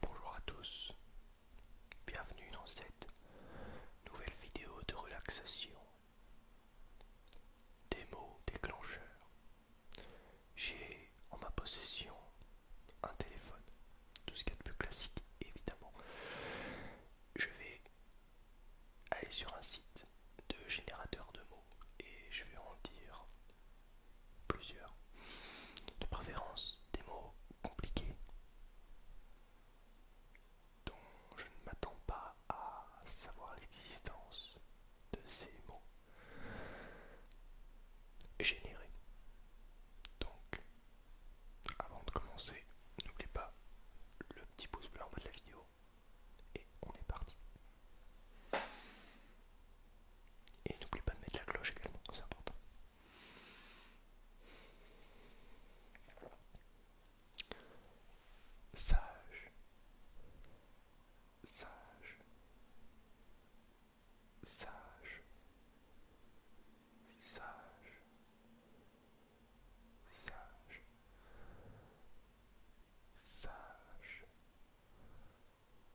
Bonjour à tous, bienvenue dans cette nouvelle vidéo de relaxation. Des mots déclencheurs. J'ai en ma possession un téléphone, tout ce qu'il y a de plus classique évidemment. Je vais aller sur un site de générateur de mots et je vais en dire plusieurs, de préférence des mots compliqués dont je ne m'attends pas à savoir l'existence de ces mots générés. Donc, avant de commencer, n'oubliez pas le petit pouce bleu en bas de la vidéo et on est parti. Et n'oublie pas de mettre la cloche également, c'est important. Sage, sage, sage, sage, sage, sage.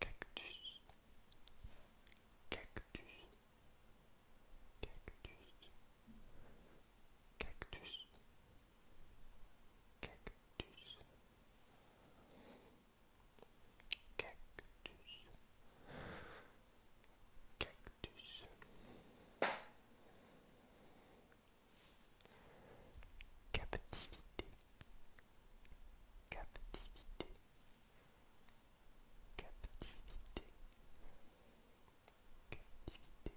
Cactus. Cactus. Cactus. Cactus. Cactus. Cactus. Cactus. Captivité. captivité, captivité, captivité, captivité, captivité.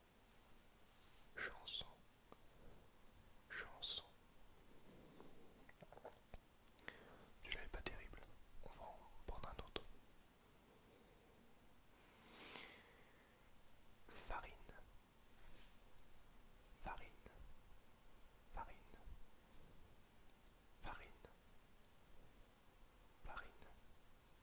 chanson, chanson. Tu l'avais pas terrible, on va en prendre un autre. Farine, farine, farine, farine, farine,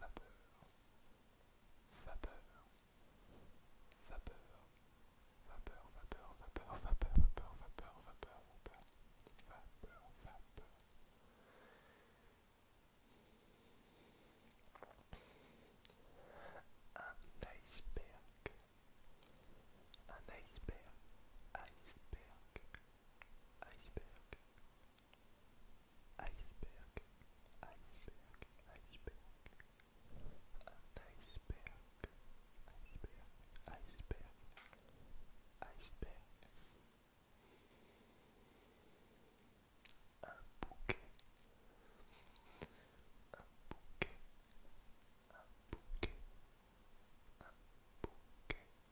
vapeur, vapeur, vapeur, vapeur, vapeur, vapeur, vapeur, vapeur, vapeur, vapeur, vapeur, vapeur, vapeur. Un iceberg, un iceberg, iceberg, iceberg, Iceberg, iceberg, iceberg. An iceberg, iceberg, iceberg, iceberg. Un bouquet, un bouquet, un bouquet, un bouquet,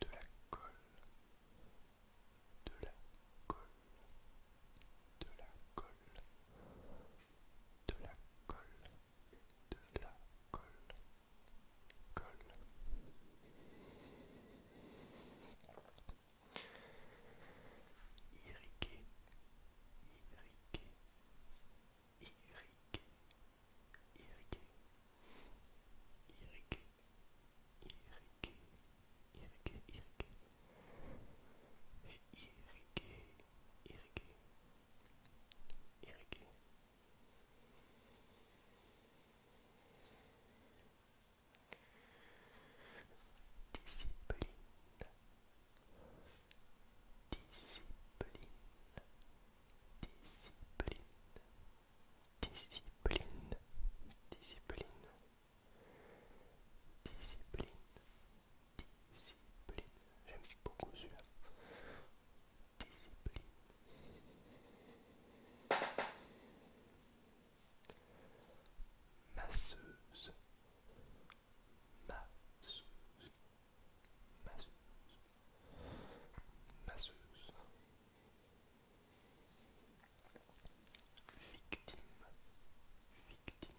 de la colle, de la colle, de la colle, de la colle, de la colle, colle. Irriguer, irriguer, irriguer, irriguer, irriguer, irriguer, irriguer, irriguer, et irriguer, discipline, discipline. Discipline, discipline, discipline, discipline, discipline. J'aime beaucoup celui Discipline. Masseuse. Masseuse. Masseuse. Masseuse victime, victime, victime, victime,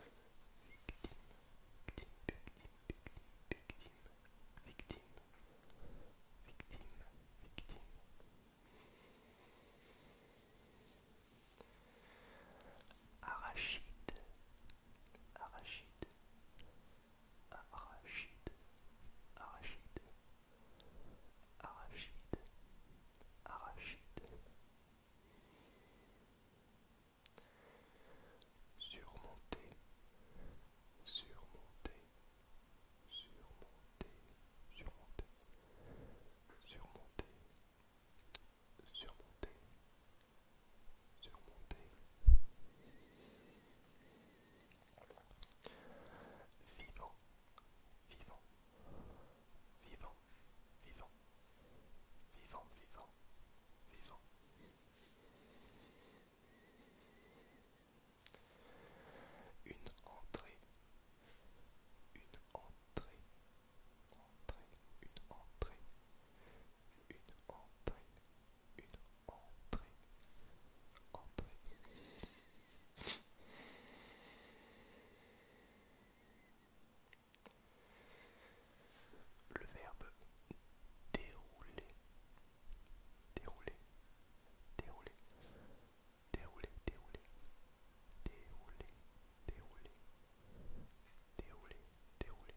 victime, victime, victime, victime, arachide. Arachide, Arachide, arachide, arachide, arachide. Surmonter, surmonter, surmonter, surmonter, surmonter, surmonter, surmonter. Vivant, vivant, vivant, vivant, vivant, vivant, vivant. Une entrée, une entrée, entrée, une entrée, une entrée le verbe dérouler, dérouler, dérouler, dérouler, dérouler, dérouler, dérouler, dérouler, dérouler, dérouler,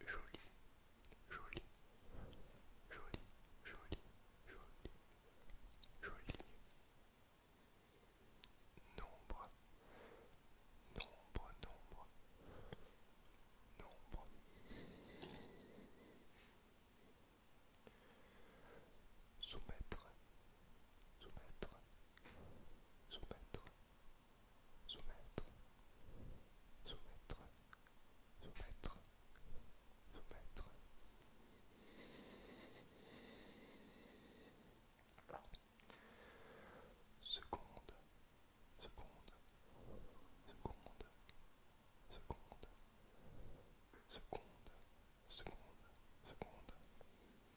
Joli, joli, joli, joli, joli, joli. Nombre, nombre, nombre, nombre. Soumettre, soumettre, soumettre, soumettre, soumettre, soumettre, soumettre. Seconde, seconde, seconde, seconde, seconde, seconde, seconde.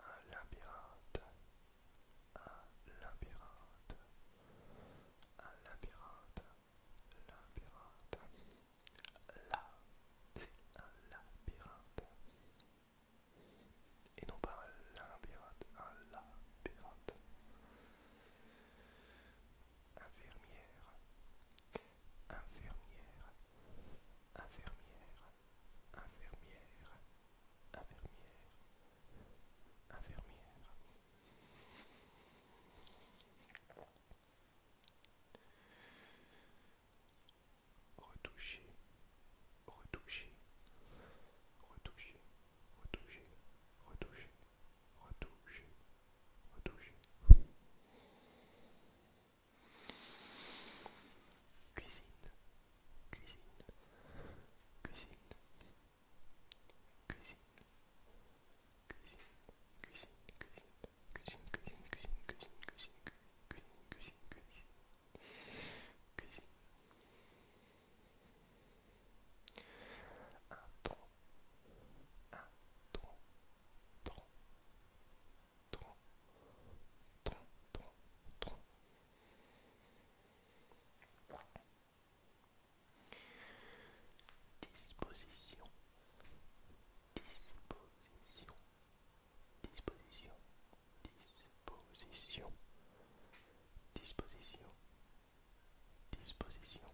Un labyrinthe, un labyrinthe, un labyrinthe, labyrinthe. Là, c'est un labyrinthe. Et non pas un labyrinthe, un labyrinthe infirmière, infirmière, infirmière, infirmière, infirmière, infirmière. Retoucher, retoucher, retoucher, retoucher, retoucher, retoucher, cuisine Cuisine, cuisine, cuisine, cuisine, cuisine, cuisine, cuisine, cuisine, cuisine, cuisine, cuisine, cuisine, cuisine, cuisine, cuisine disposition, disposition, disposition, disposition, disposition,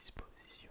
disposition,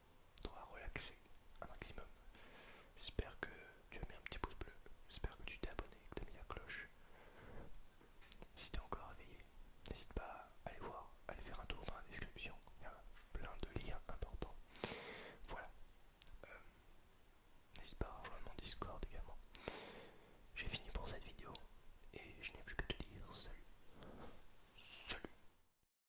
toi relaxer un maximum. J'espère que tu as mis un petit pouce bleu, j'espère que tu t'es abonné, que tu as mis la cloche. Si tu es encore éveillé, n'hésite pas à aller voir, à aller faire un tour dans la description, il y a plein de liens importants. Voilà. Euh, n'hésite pas à rejoindre mon Discord également. J'ai fini pour cette vidéo et je n'ai plus que te dire salut. Salut